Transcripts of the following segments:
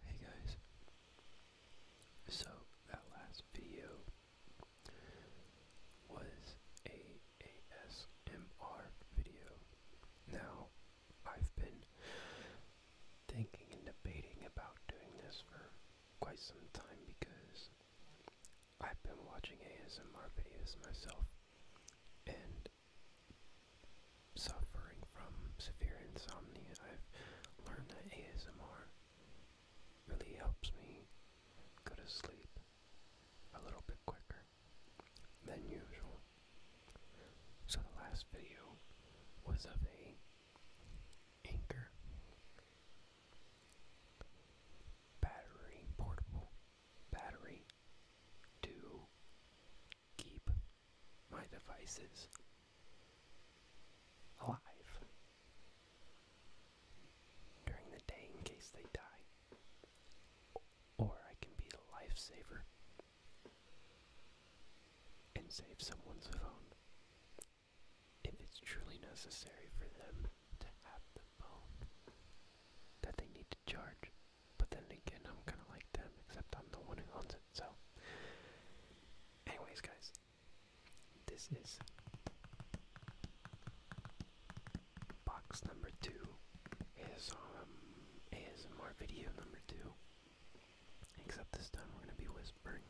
Hey guys, so that last video was a ASMR video. Now, I've been thinking and debating about doing this for quite some time because I've been watching ASMR videos myself and suffering from severe insomnia, I've learned that ASMR really helps me go to sleep a little bit quicker than usual. So the last video was of a anchor battery portable battery to keep my devices alive during the day in case they die. Or I can be a lifesaver and save someone's phone if it's truly necessary for them to have the phone that they need to charge. But then again, I'm kind of like them, except I'm the one who owns it. So, anyways, guys, this is box number two. Is um ASMR video number two. Except this time we're gonna be whispering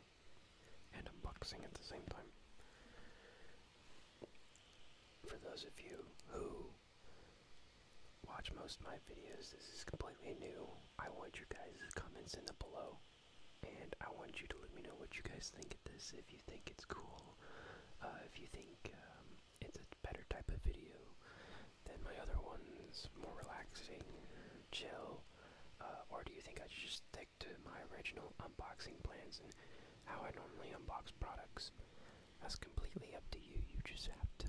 and unboxing at the same time. For those of you who watch most of my videos. This is completely new. I want you guys' to comment in the below. And I want you to let me know what you guys think of this. If you think it's cool, uh, if you think um, it's a better type of video than my other ones, more relaxing, chill, uh, or do you think I should just stick to my original unboxing plans and how I normally unbox products? That's completely up to you. You just have to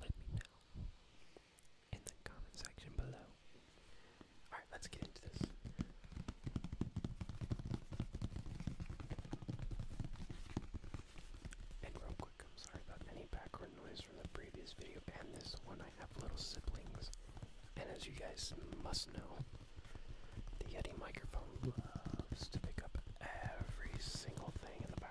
let me know in the comment section below. Alright, let's get into this. And real quick, I'm sorry about any background noise from the previous video and this one. I have little siblings, and as you guys must know, the Yeti microphone loves to pick up every single thing in the I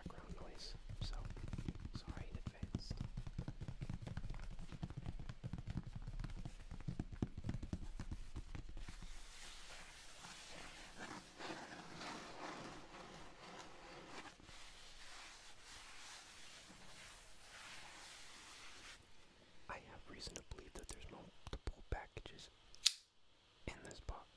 have reason to believe that there's multiple packages in this box.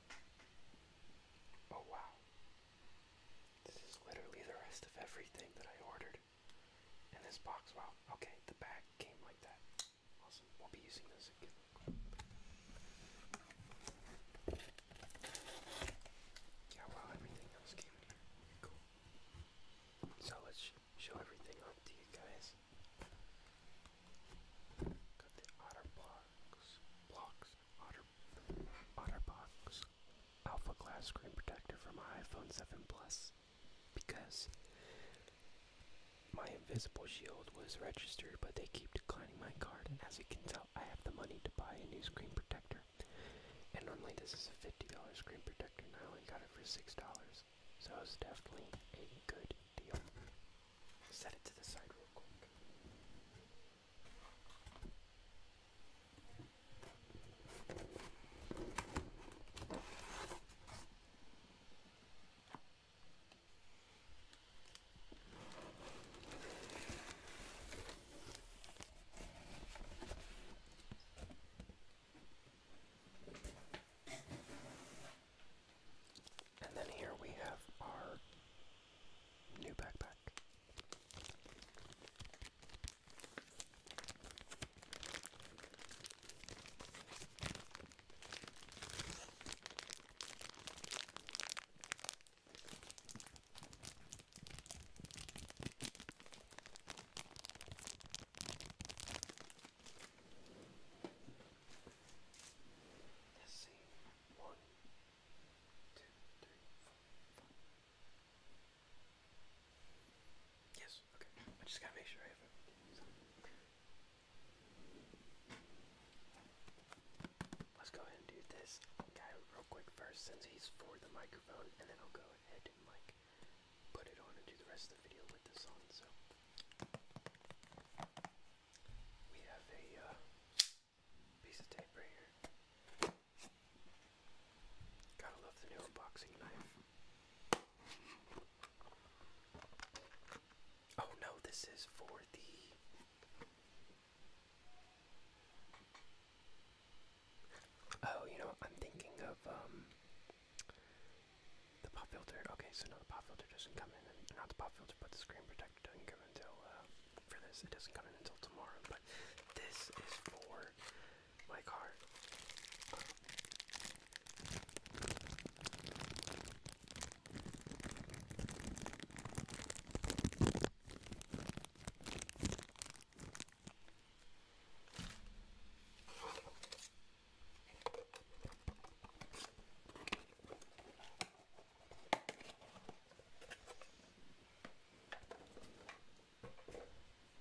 Oh wow. This is literally the rest of everything that I ordered in this box. Wow, okay, the bag came like that. Awesome. We'll be using this again. Yeah, well, everything else came in here. Cool. So let's show everything off to you guys. Got the OtterBox blocks, Otter, OtterBox Alpha Glass Screen Protector for my iPhone 7 Plus because my invisible shield was registered, but they keep declining my card, and as you can tell, I have the money to buy a new screen protector. And normally this is a $50 screen protector, and I only got it for $6, so it's definitely a good deal. Set it to the side real quick. And then here we have our new backpack. Let's see. One, two, three, four, five. Yes, okay. I just gotta make sure I have Let's go ahead and do this guy real quick first since he's for the microphone and then I'll go ahead and like put it on and do the rest of the video with this on so we have a uh, piece of tape right here. Gotta love the new boxing knife. Oh no, this is for the. Oh, you know, I'm thinking of um, the pop filter, okay, so now the pop filter doesn't come in, not the pop filter, but the screen protector doesn't come until, uh, for this, it doesn't come in until tomorrow, but this is for my car.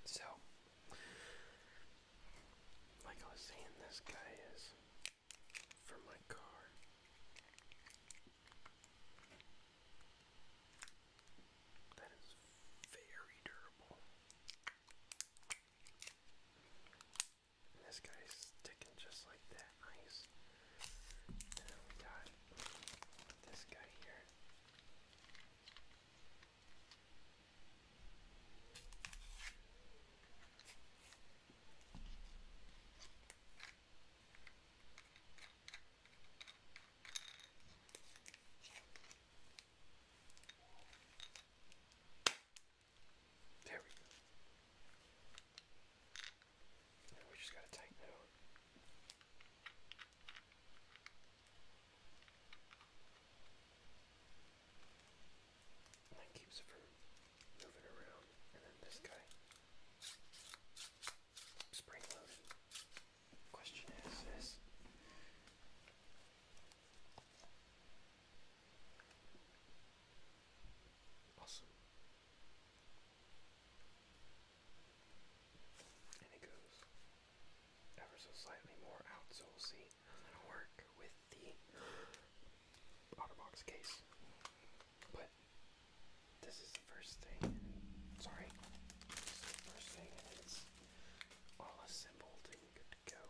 So, like I was saying, this guy is for my car. That is very durable. And this guy's sticking just like that. Nice. And then we got this guy here. There we go. Now we just gotta tighten it out. And that keeps it from moving around. And then this guy. Spring loaded. Question is this Awesome. And it goes ever so slightly more out, so we'll see. I'm work with the OtterBox case, but this is the first thing. Sorry, first thing, and all assembled and good to go.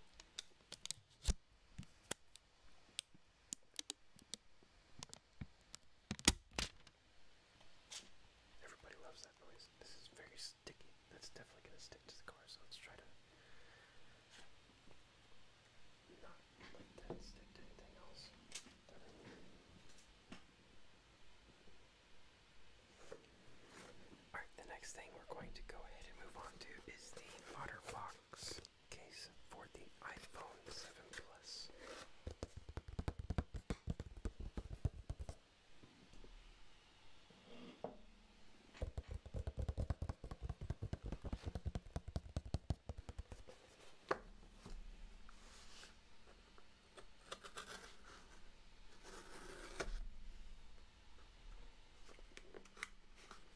Everybody loves that noise. This is very sticky. That's definitely gonna stick to the car, so let's try to not let that stick to anything else. Alright, the next thing we're going to go ahead and move on to is the water box case for the iPhone 7 Plus.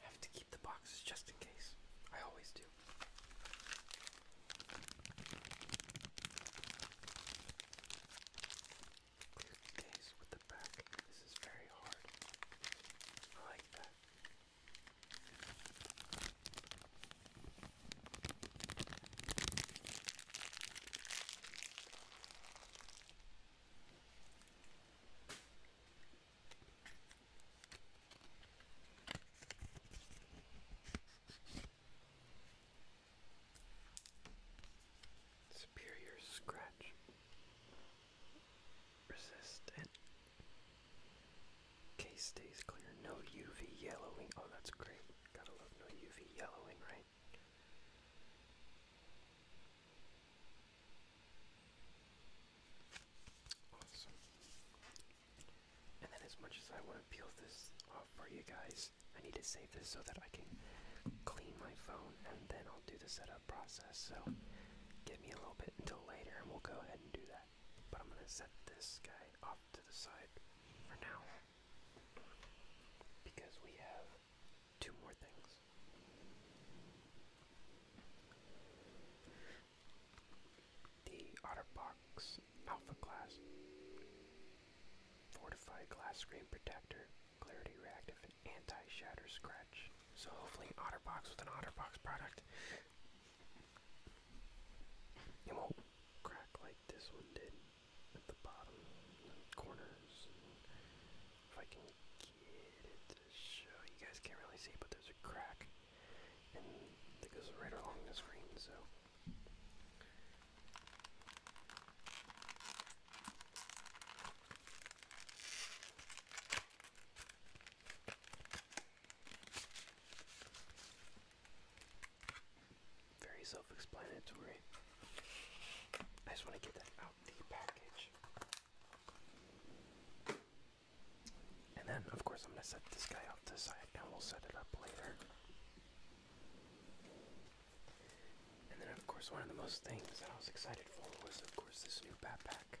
Have to keep the boxes just in case. I always do. Clear the case with the back. This is very hard. I like that. Superior scratch resistant Case stays clear. No UV yellowing. Oh, that's great. Gotta love no UV yellowing, right? Awesome. And then, as much as I want to peel this off for you guys, I need to save this so that I can clean my phone and then I'll do the setup process. So, give me a little bit until later and we'll go ahead and do that. But I'm gonna set this guy off to the side for now. Because we have two more things. The Otterbox Alpha class. Fortified glass screen protector, clarity reactive, and anti-shatter scratch. So hopefully Otterbox with an Otterbox product it won't crack like this one did at the bottom corners. If I can get it to show, you guys can't really see, but there's a crack, and that goes right along the screen. So. Very self explanatory. I just want to get that out the package. And then, of course, I'm going to set this guy off to side and we'll set it up later. And then, of course, one of the most things that I was excited for was, of course, this new backpack.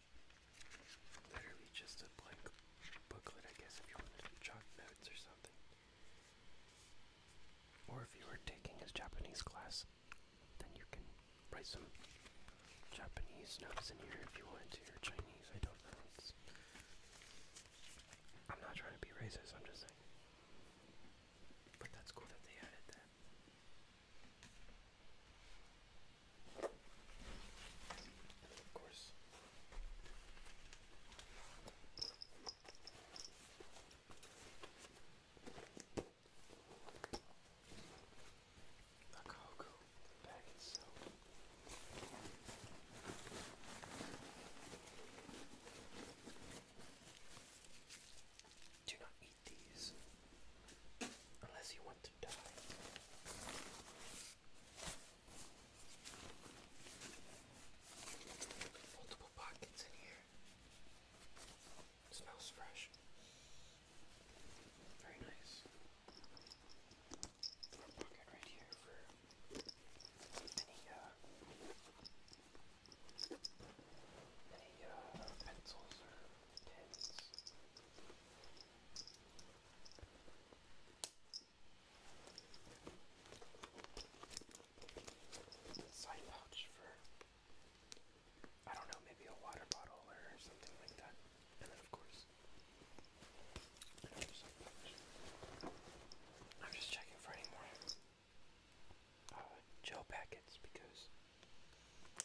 Literally just a blank booklet, I guess, if you want to do chalk notes or something. Or if you were taking his Japanese class, then you can write some Japanese notes in here if you wanted to, do your Chinese, I don't know. I'm not trying to be racist, I'm just saying. But that's cool that they added that. And of course, the bag itself. Do not eat these unless you want to die. Multiple pockets in here. It smells fresh. Very nice. Door pocket right here for any uh any uh pencils or pens. Side pouch for I don't know, maybe a water bottle or something like that. And then of course another side pouch. I'm just checking for any more uh, gel packets because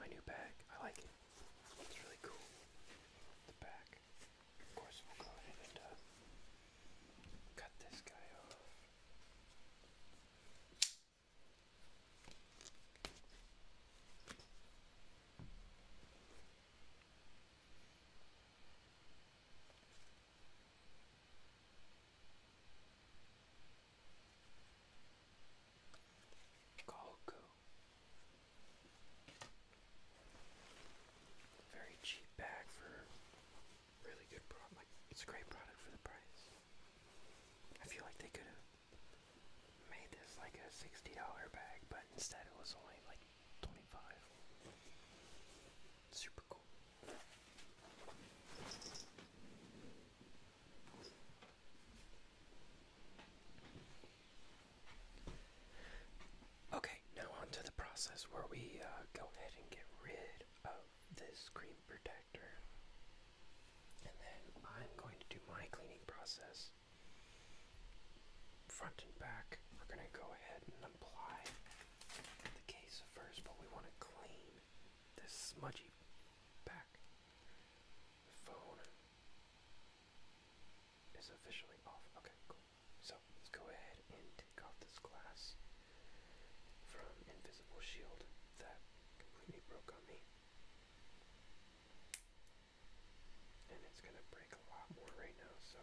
my new bag. I like it. It's really cool. The back. Of course, we'll go ahead and uh, cut this guy off. Goku. Very cheap bag for really good product. Like, it's a great product for the price. I feel like they could have made this like a $60 bag, but instead it was only like 25 Super cool. Okay, now on to the process where we uh, go ahead and get rid of this screen protector. And then I'm going to do my cleaning process. Front and back, we're going to go ahead and apply the case first, but we want to clean this smudgy back phone is officially off. Okay, cool. So let's go ahead and take off this glass from Invisible Shield that completely broke on me. And it's gonna break a lot more right now, so.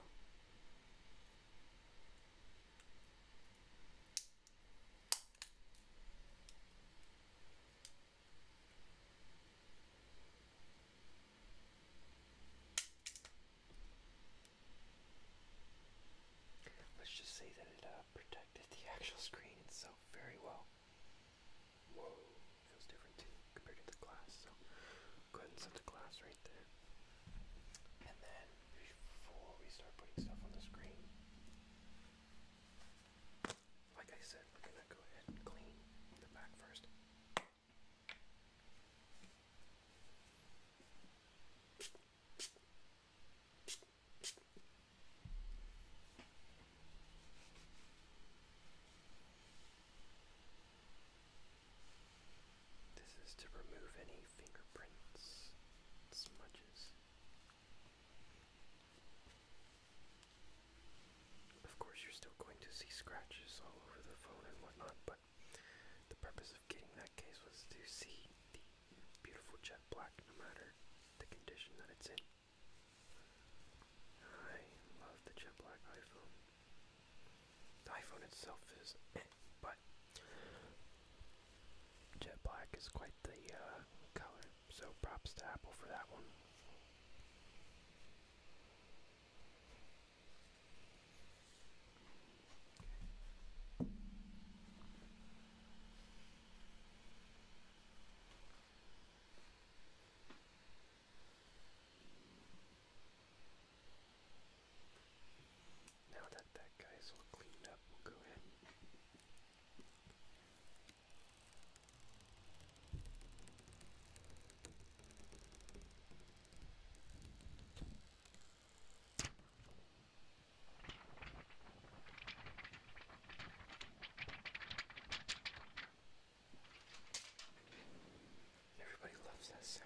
Let's just say that it uh, protected the actual screen itself very well. Whoa, feels different too compared to the glass. So go ahead and set the glass right there. And then before we start putting stuff on the screen, like I said, we're gonna go ahead and clean the back first. This is to remove any fingerprints, smudges, of course, you're still going to see scratches all over the phone and whatnot, but the purpose of getting that case was to see the beautiful jet black no matter the condition that it's in. I love the jet black iPhone. The iPhone itself is but jet black is quite the uh, color. So props to Apple for that one. Now that that guy's all cleaned up, we'll go ahead Everybody loves that sound.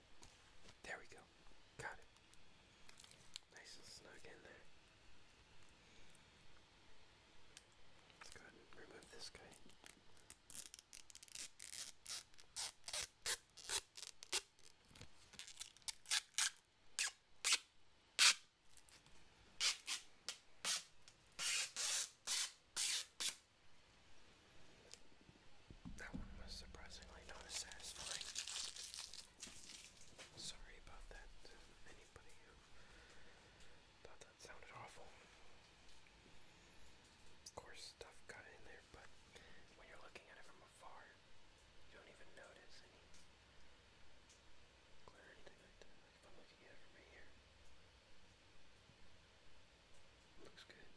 There we go. Got it. Nice and snug in there. Let's go ahead and remove this guy. That one was surprisingly not satisfying Sorry about that, anybody who thought that sounded awful. Of course, stuff got in there, but when you're looking at it from afar, you don't even notice any glare or anything like that. if I'm looking at it from here, looks good.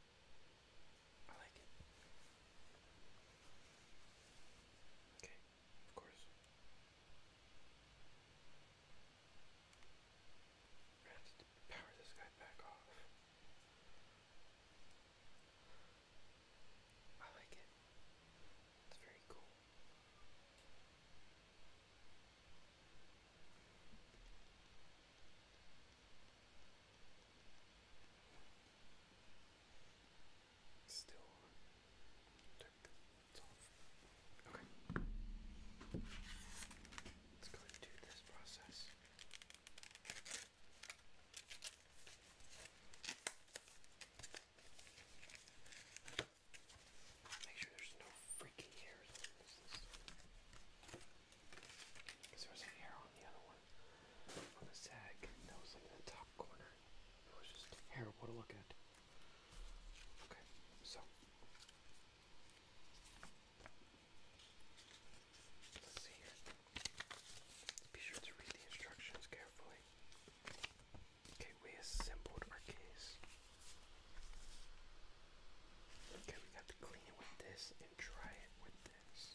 I like it. Okay, of course. I have to power this guy back off. I like it. It's very cool. It's still on. Check it's off. Okay. Let's go and do this process. Make sure there's no freaking hairs on this. Because there was a hair on the other one on the sag that was in the top corner. It was just terrible to look at. Okay, so let's see here. Be sure to read the instructions carefully. Okay, we assembled our case. Okay, we got to clean it with this and dry it with this.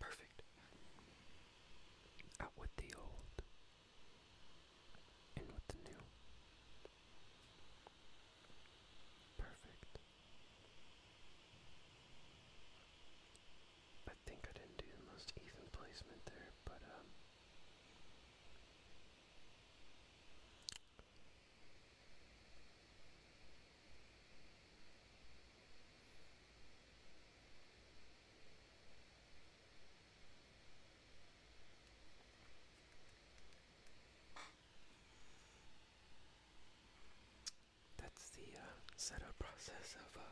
Perfect. Out with the old, in with the new. Perfect. I think I didn't do the most even placement there, but um that's the uh, setup process of uh,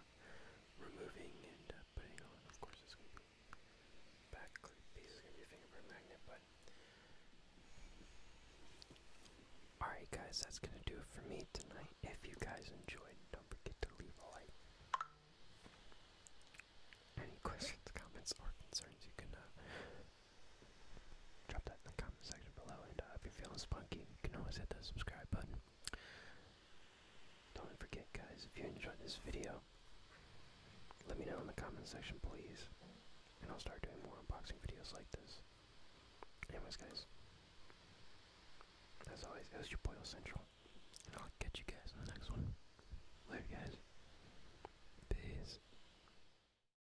removing and uh, putting on. Of course, it's going to be back piece is going a fingerprint magnet, but alright, guys, that's going to do it for me tonight. If you guys enjoyed, don't forget to leave a like. Any questions, comments, or concerns, you can Drop that in the comment section below, and uh, if you're feeling spunky, you can always hit that subscribe button. Don't forget, guys, if you enjoyed this video, let me know in the comment section, please, and I'll start doing more unboxing videos like this. Anyways, guys, as always, it your boy Central, and I'll catch you guys in the next one. Later, guys. Peace.